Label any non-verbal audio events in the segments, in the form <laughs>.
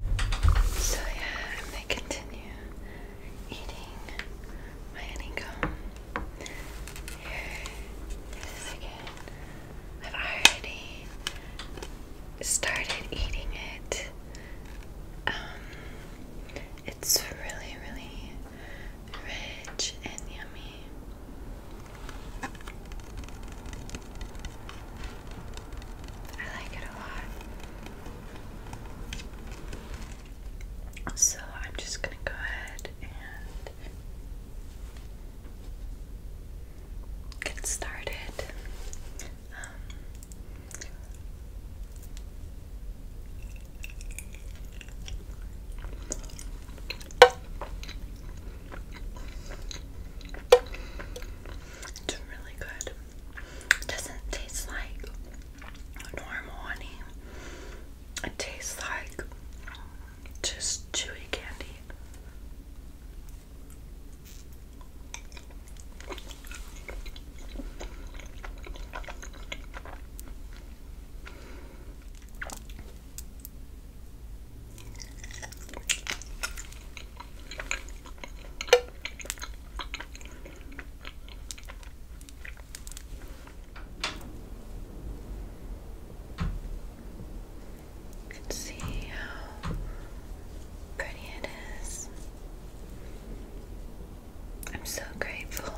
So yeah, I'm gonna continue eating my honeycomb. Here is again. I've already started eating it. Um, it's really, really rich and yummy. I like it a lot. So I'm just gonna go ahead and get started. Um, it's really good. It doesn't taste like normal honey. It tastes like just chewy candy. You can see how pretty it is. I'm so grateful.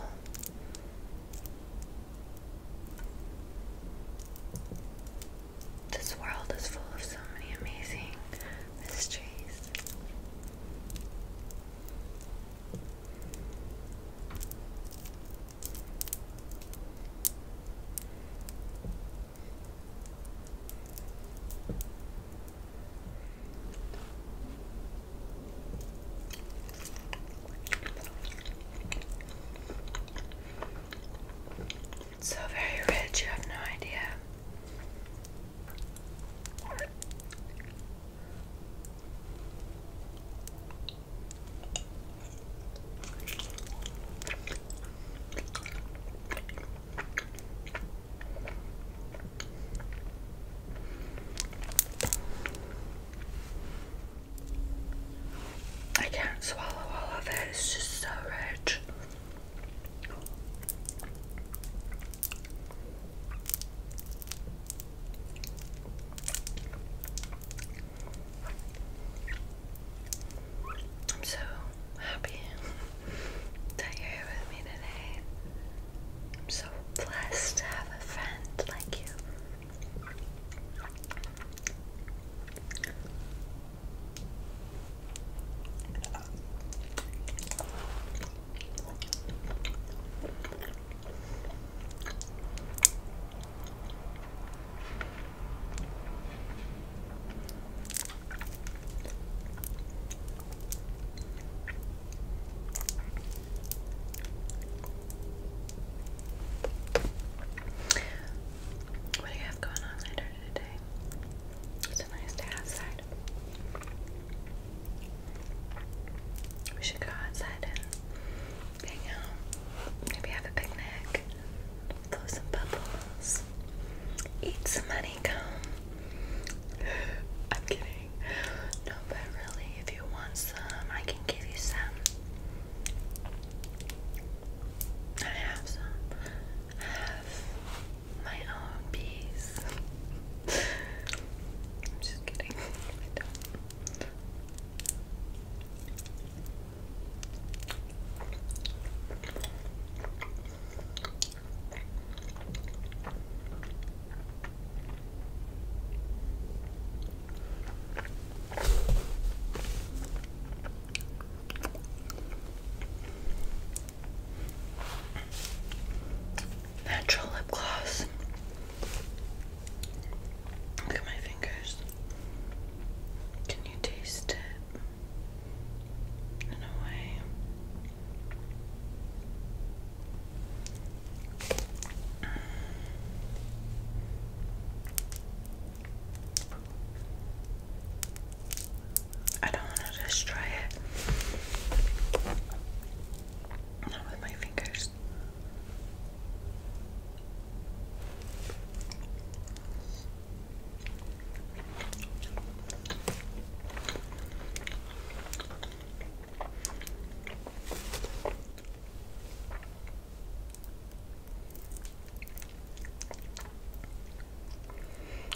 This world is full of so many amazing mysteries. so very rich, you have no idea. I can't swallow all of it, it's just so rich. I'm so happy that you're here with me today. I'm so blessed to have a friend like you. What do you have going on later? It's a nice day outside. We should go outside and hang out. Maybe have a picnic. Blow some bubbles. Eat some honeycomb. <sighs> I'm kidding. No, but really, if you want some, I can give you some. I have some have my own peace. I'm just kidding. Natural lip gloss. Look at my fingers. Can you taste it? In a way. I don't want to destroy it. Not with my fingers.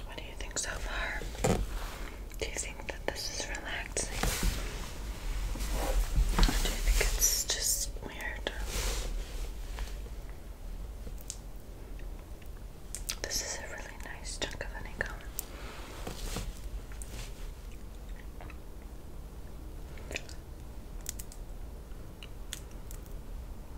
What do you think so far? Do you think that this is relaxing? do you think it's just weird? This is a really nice chunk of honeycomb.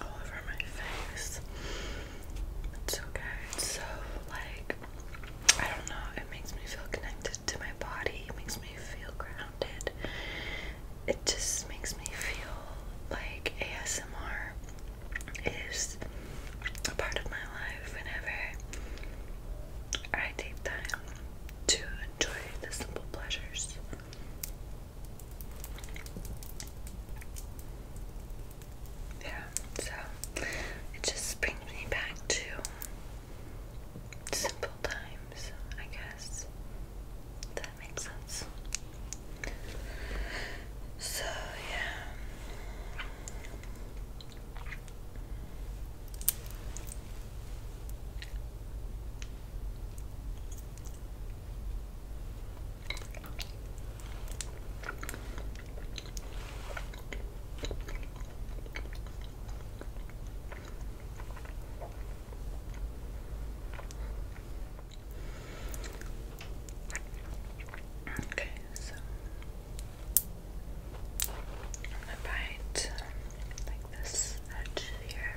all over my face. It's okay. so like I don't know, it makes me feel connected to my body, it makes me feel grounded. It just makes me feel like ASMR is a part of my life whenever I take time to enjoy the simple pleasures yeah, so it just brings me back to simple times, I guess. That makes sense. So, yeah. Okay, so I'm gonna bite um, like this edge here.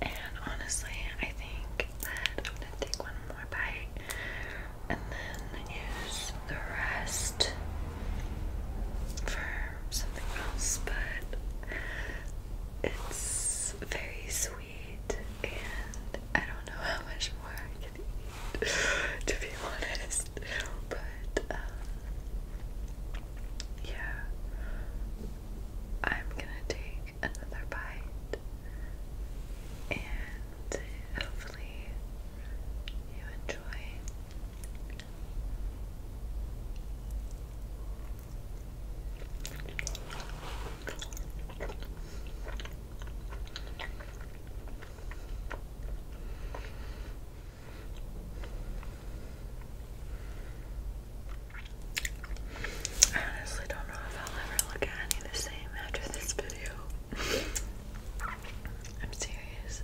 And honestly, I think that I'm gonna take one more bite and then use the rest for something else, but it's very sweet and I don't know how much more I can eat to be honest. But but uh, yeah, I'm gonna take another bite and hopefully you enjoy. I honestly don't know if I'll ever look at any the same after this video. I'm serious.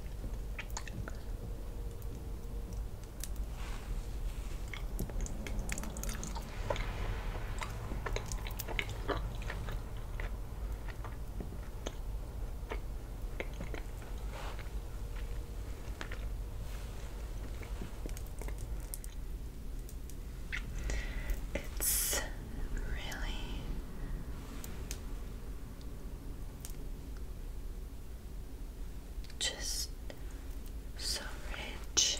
It's really just so rich,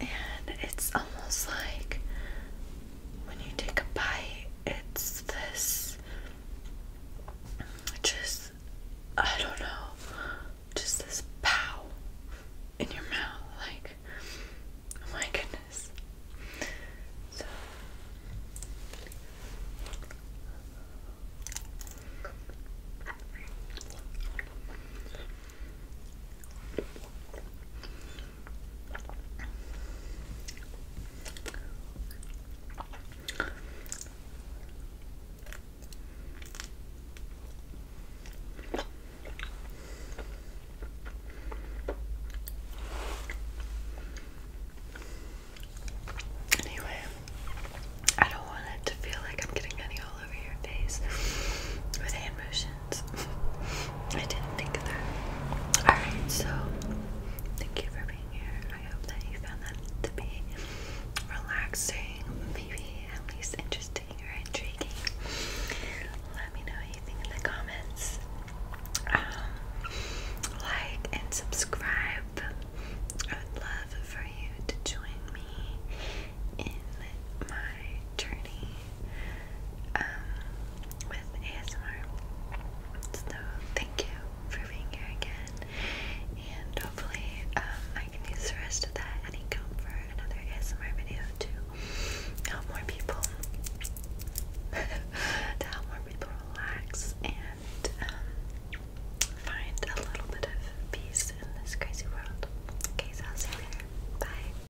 and it's almost like when you take a bite, it's this just, I don't know, just this pow in your mouth. Like, oh my goodness. So. Anyway, I don't want it to feel like I'm getting honey all over your face with hand motions. I didn't think of that. Alright, so thank you for being here. I hope that you found that to be relaxing, maybe at least interesting or intriguing. Let me know what you think in the comments. Um, like and subscribe. I would love for you to join me in my journey um, with ASMR. So thank you for being here again, and hopefully um, I can use the rest of that and income for another ASMR video to help more people, <laughs> to help more people relax and um, find a little bit of peace in this crazy world. Okay, so I'll see you later. Bye.